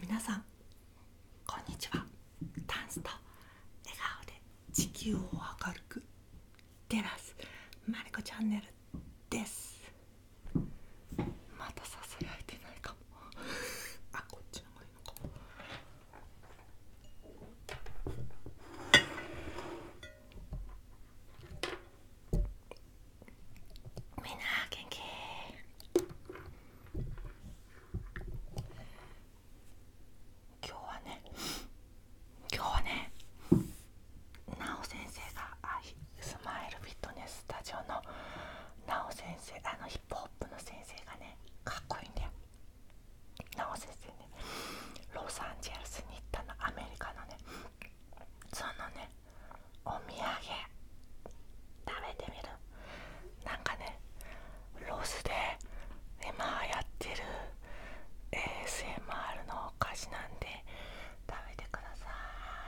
皆さんこんにちはダンスと笑顔で地球を明るく照らすまりこチャンネルですまたささやいてないかも あこっちの方がいいのかみんな元気今日はね今日はねなお先生があスマイルフィットネススタジオのなお先生あのヒップホップの先生がねかっこいいんだよなお先生ねロサンゼルスに行ったのアメリカのねそのねお土産食べてみるなんかねロスで今やってる ASMR のお菓子なんで食べてくださ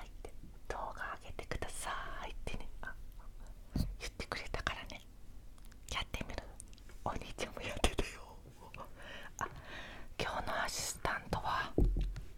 いって動画上げてくださいってね言ってくれたからねやってみるお兄ちゃんもやってたよあ今日のアシスタントは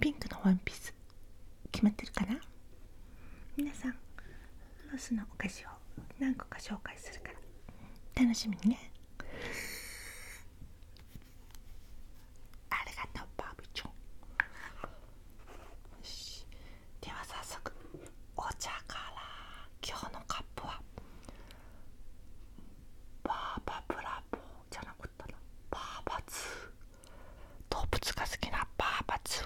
ピンクのワンピース決まってるかなみなさんロスのお菓子を何個か紹介するから楽しみにねありがとうバービチョンよしでは早速お茶から今日のカップはバーバブラボーじゃなかったなバーバツー動物が好きなパーパツ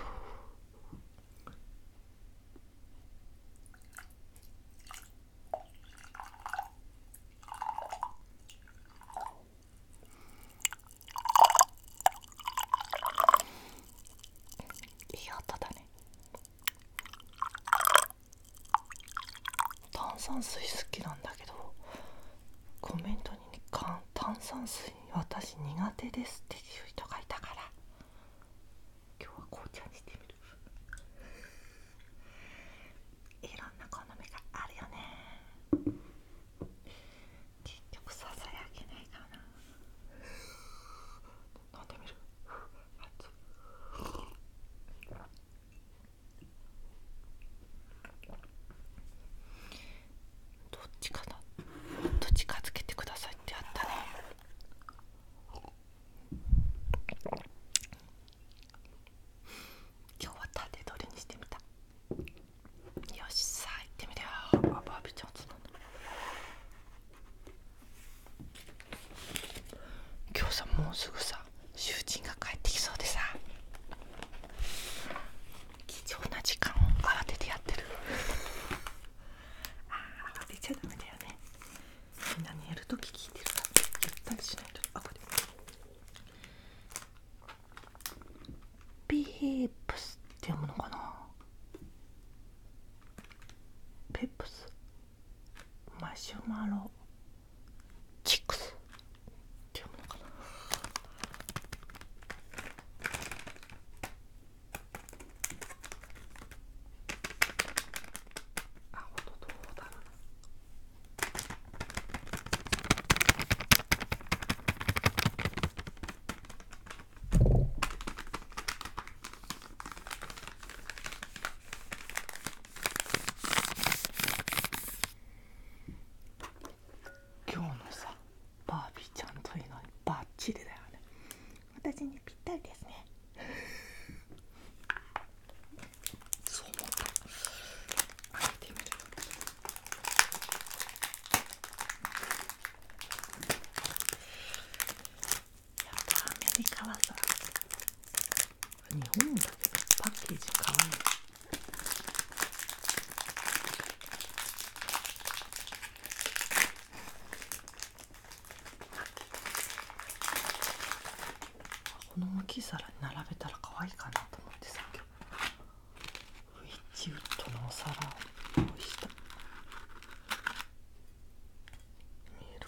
いい音だね炭酸水好きなんだけどコメントに、ね、炭酸水私苦手ですっていう人がいたから今日は紅茶にしてみるいろんな好みがあるよね結局ささやけないかな飲んでみるいどっちかなどっちかつけてくださいってあったら。今日は縦取りにしてみたよしさ行ってみるよバービーちゃんつなん今日さもうすぐさ囚人が帰ってきそうでさ貴重な時間を慌ててやってるああ、慌ちゃだめだよねみんなにやるとき聞いてるからゆったりしないとあこれピープスって読むのかなペップスマシュマロチックス今日のさバービーちゃんというのはバッチリだよね私にぴったりですねそうやっぱアメリカはさ日本だけどパッケージかわいいこの大きい皿に並べたら可愛いかなと思ってさ今日ウィッチウッドのお皿を用意した見える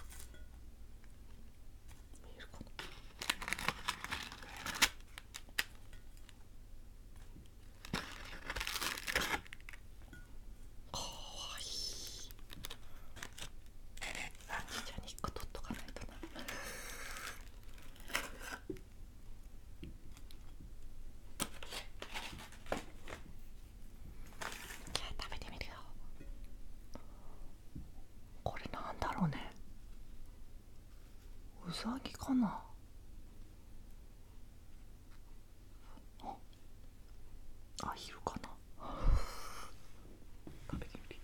見えるかなかわいいちっちゃに肉個取っとかないとなじゃあ食べてみるよこれなんだろうねウサギかなアヒルかな 食べてみる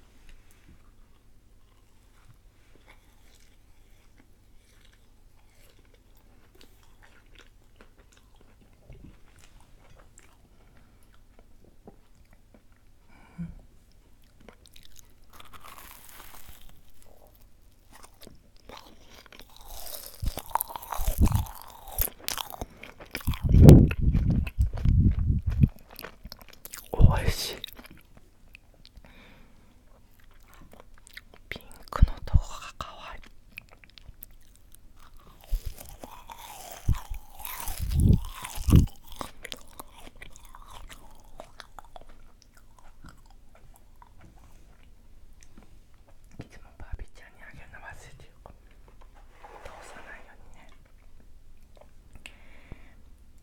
おいしいピンクのとこがかわいいいつもバービーちゃんにあげるの忘れてる通さないようにね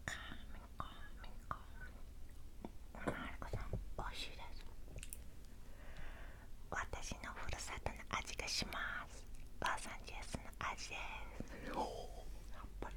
かみこみこマルコさん美味しいです私のふるさとの味がしますバーサンジェルスの味ですやっぱり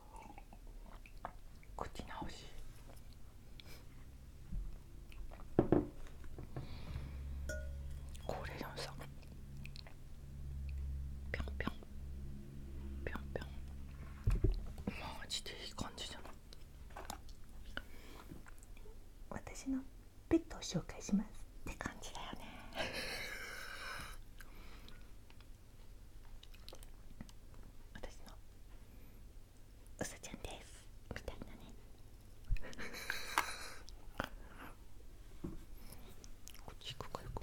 口直し高齢のさぴょんぴょんぴょんぴょんマジでいい感じじゃない私のペットを紹介しますって感じだよね私のうさちゃんですみたいなね こっち行くかよく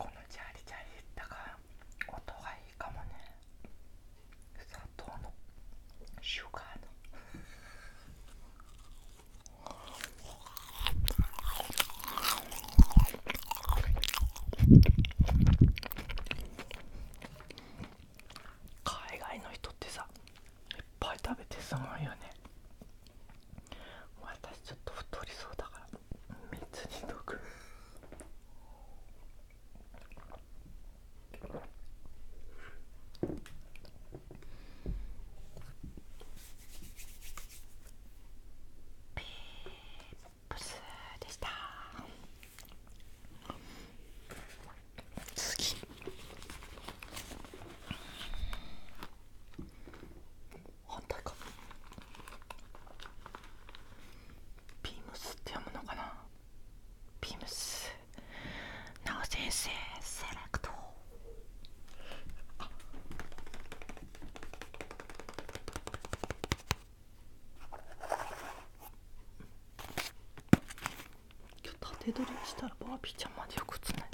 このチャリチャリいったが音がいいかもね砂糖のシュガーの海外の人ってさいっぱい食べてすごいよね私ちょっと太りそうだから蜜にとくプスでした次反対かビームスって読むのかなビームスなお先生セレクト今日縦取りしたらバービーちゃんまでよく映ない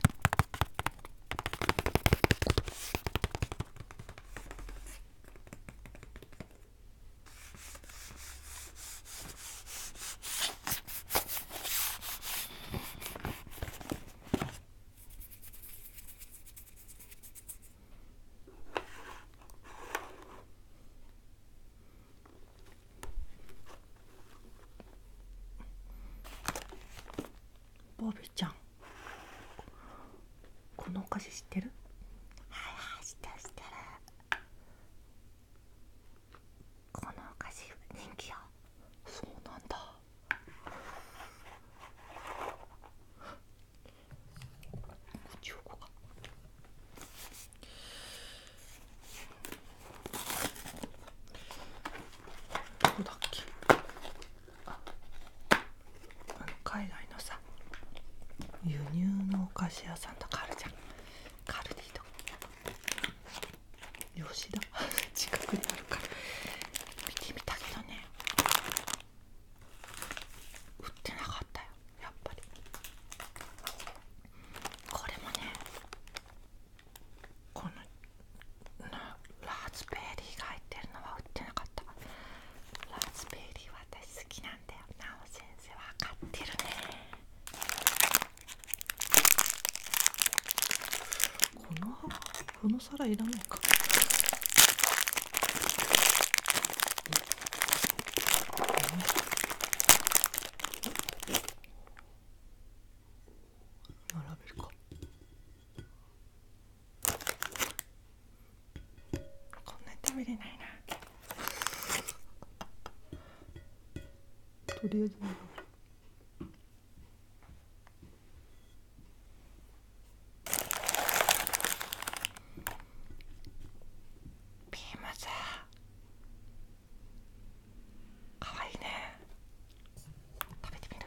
ボビちゃんこのお菓子知ってるはいはい知ってる知ってるこのお菓子人気よそうなんだこっちをこかどこだっけああの海外のさ輸入のお菓子屋さんとカルるじゃんカルディと吉田 近くにあるから見てみたけどね売ってなかったよやっぱりこれもねこのラズベリーが入ってるのは売ってなかったラズベリー私好きなんだよなお先生わかってるねこのこのの皿いらないか並べるかこんなに食べれないなとりあえず並べるビームズかわいいね食べてみる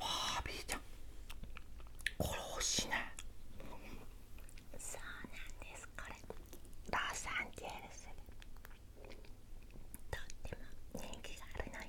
バービーちゃんこしいそうなんですこれロサンゼルスとっても人気があるのよ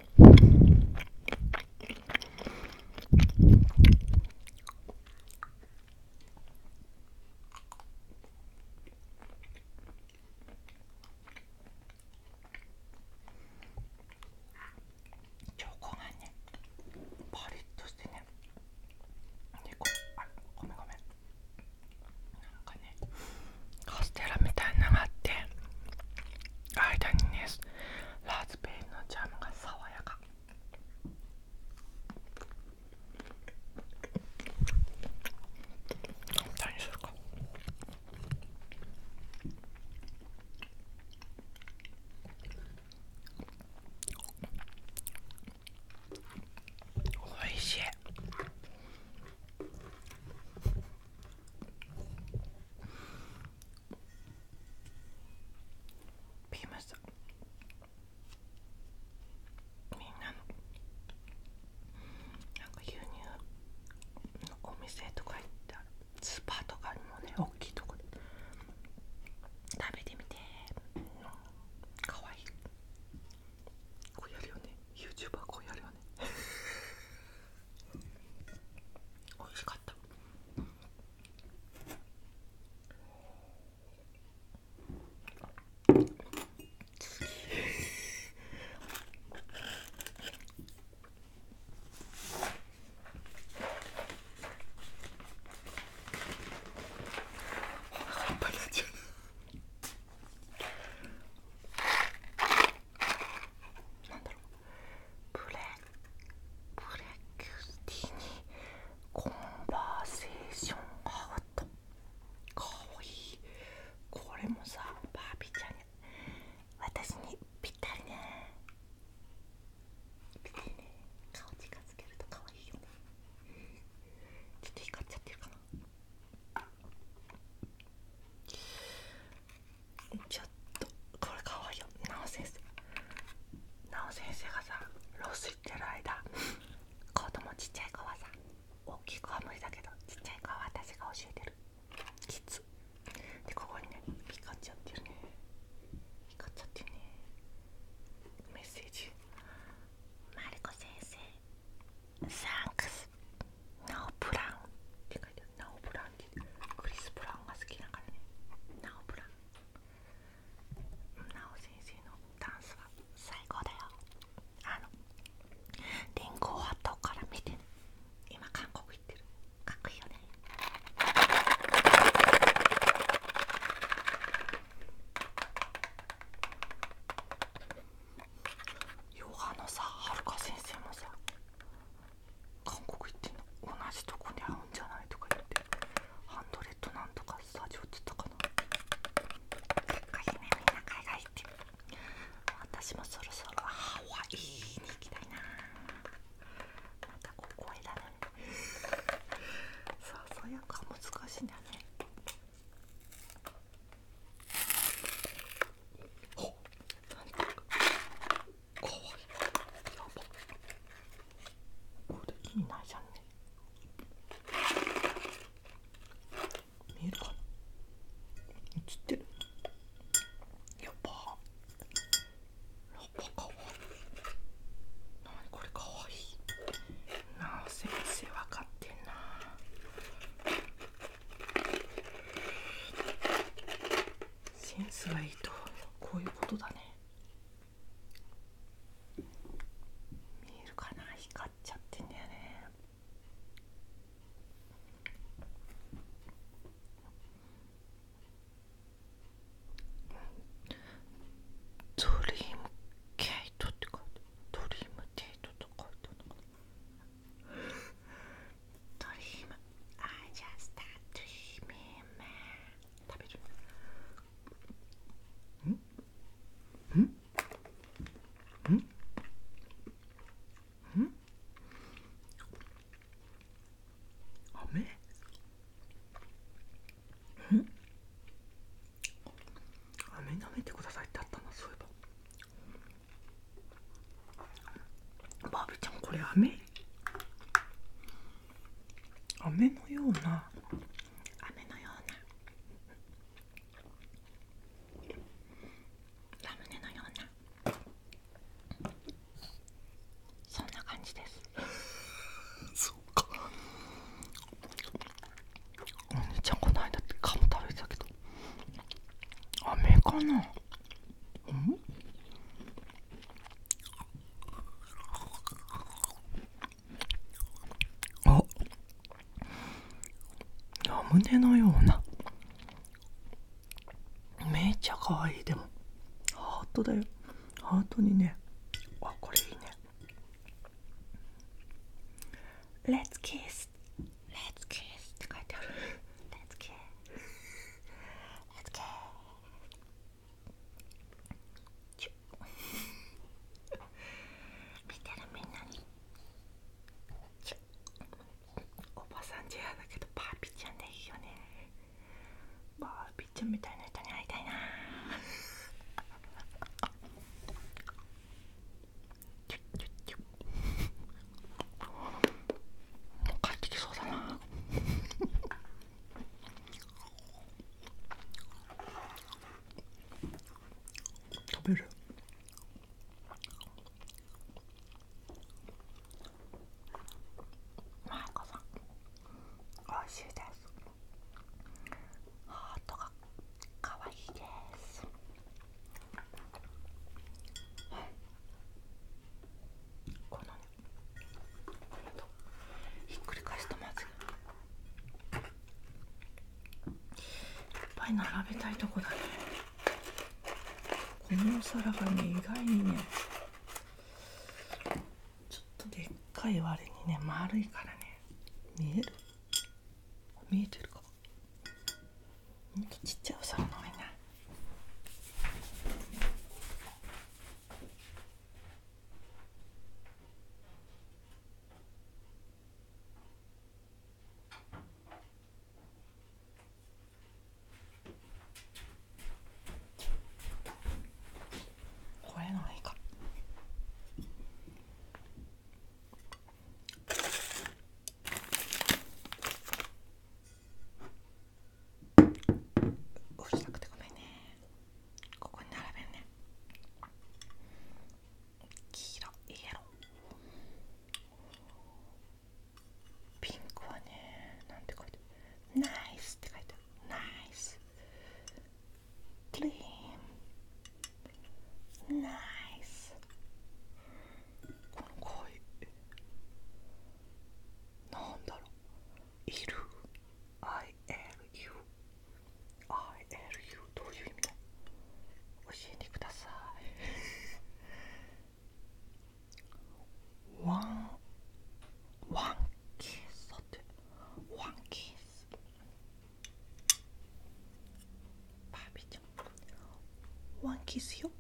チョコがねパリッとしてねでこあごめんごめんなんかカステラみたいなのがあって間にねラズベリーのジャムが爽やか何するかおいしいピーマスみんなのなんか牛乳のお店とか行ったらスーパーとかにもね大きいとこで食べてみてかわいいこうやるよね YouTuber こうやるよね美味しかった次お腹いっぱいになっちゃうなんだろうブレブレキュティにコンバーセーションアウトかわいいこれもさバービーちゃんに。私にぴったりねぴったりね顔近づけるとかわいいよねちょっと光っちゃってるかなちょっとこれかわいいよなお先生なお先生がさロス行ってる間子供ちっちゃい子はさ大きい子は無理だけどちっちゃい子は私が教えてるキッズでここにねピカちゃってるねピカちゃってるねメッセージマリコ先生サンクスですなおブラウンって書いてあるなおブラウンってクリス・ブラウンが好きだからねなおプラウンなお先生のダンスは最高だよあのリンゴを後から見て、ね、今韓国行ってるかっこいいよねヨガのさはるか先生もさ韓国行ってんの同じとこに合うんじゃないとか言ってハンドレッドなんとかスタジオって言ったかなかっこいねみんな海外行って私もそろそろハワイに行きたいななんかこう声だねささやか難しいんだねおなんかかわいやばこれ意ないじゃんね見え映ってるやばやばかわいいなにこれかわいなあ先生分かってんなあセンスがいいとこういうことだね見えるかな光っちゃってんだよねドリームケイトって書いてドリームデートと書いてあるのかなトリ e a m I just start d r ん。a ん。i n g 食べるんんんん雨ん飴舐めてくださいってあったなそういえばバービーちゃんこれ飴飴のような飴のようなラムネのようなそんな感じです そうかお兄ちゃんこの間ってカム食べてたけど飴かなうんあラムネのようなめっちゃ可愛いでもハートだよハートにねあこれいいねレッツキ kiss Let's って書いてあるレッツキ k i l e 見てるみんなにおばさんじゃだけどパーピーちゃんでいいよねパーピーちゃんみたいな人に会いたいなちょちょちょもう帰ってきそうだな食べるマイコさんおいしいですハートがかわいいですこのねひっくり返すとまずいいっぱい並べたいとこだねこのお皿がね意外にねちょっとでっかい割にね丸いからね見える見えてるかほんとちっちゃいお皿の上ないこれのいかうるさくてごめんねここに並べるね黄色イエローピンクはねなんて書いてナイスって書いてナイスクリームナイスこの濃いなんだろういる ILU ILU どういう意味だ教えてくださいワンワンキスだってワンキスバービーちゃんワンキスよ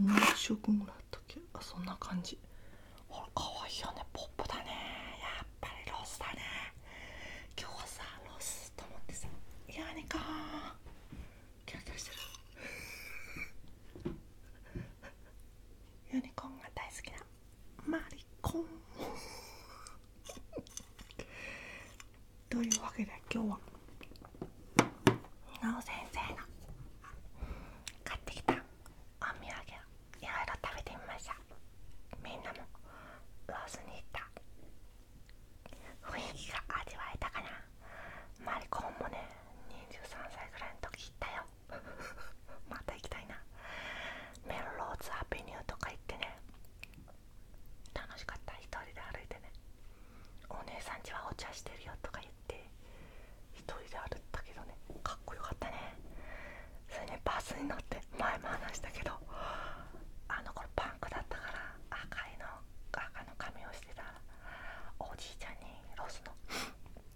何色ぐらいだっけそんな感じほらかわいいよねポップだねやっぱりロスだね今日はさロスと思ってさいニねかキラキラしてるユニコーンが大好きなマリコンというわけで今日はなお先生が買ってきたお土産をいろいろ食べてみましたみんなもロースに行った雰囲気が味わえたかなマリコンもね23歳ぐらいの時行ったよ また行きたいなメルローズアベニューとか行ってね楽しかった1人で歩いてねお姉さんちはお茶してるよとか言って1人で歩ったけどねかっこよかったねそれでバスに乗って前も話したけどあの頃パンクだったから赤いの赤の髪をしてたおじいちゃんにロスの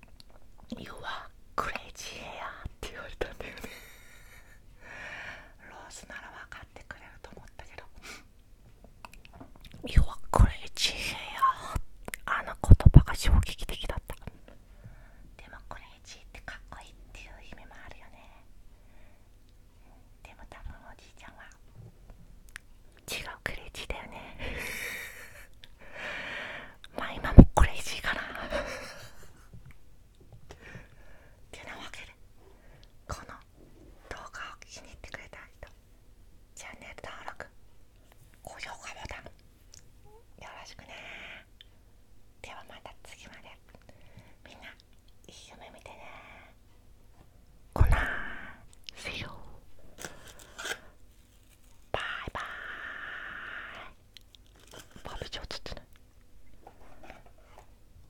「You are crazy hair」って言われたんだよねロースなら分かってくれると思ったけどあの言葉が衝撃的だったでもクレイジーってかっこいいっていう意味もあるよねでも多分おじいちゃんは違うクレイジーだよね まあ今もクレイジーかなってなわけでこの動画を気に入ってくれた人チャンネル登録高評価ボタンよろしくねではまた次までみんないい夢見てねこなー See you バイバイバーベキュー映ってない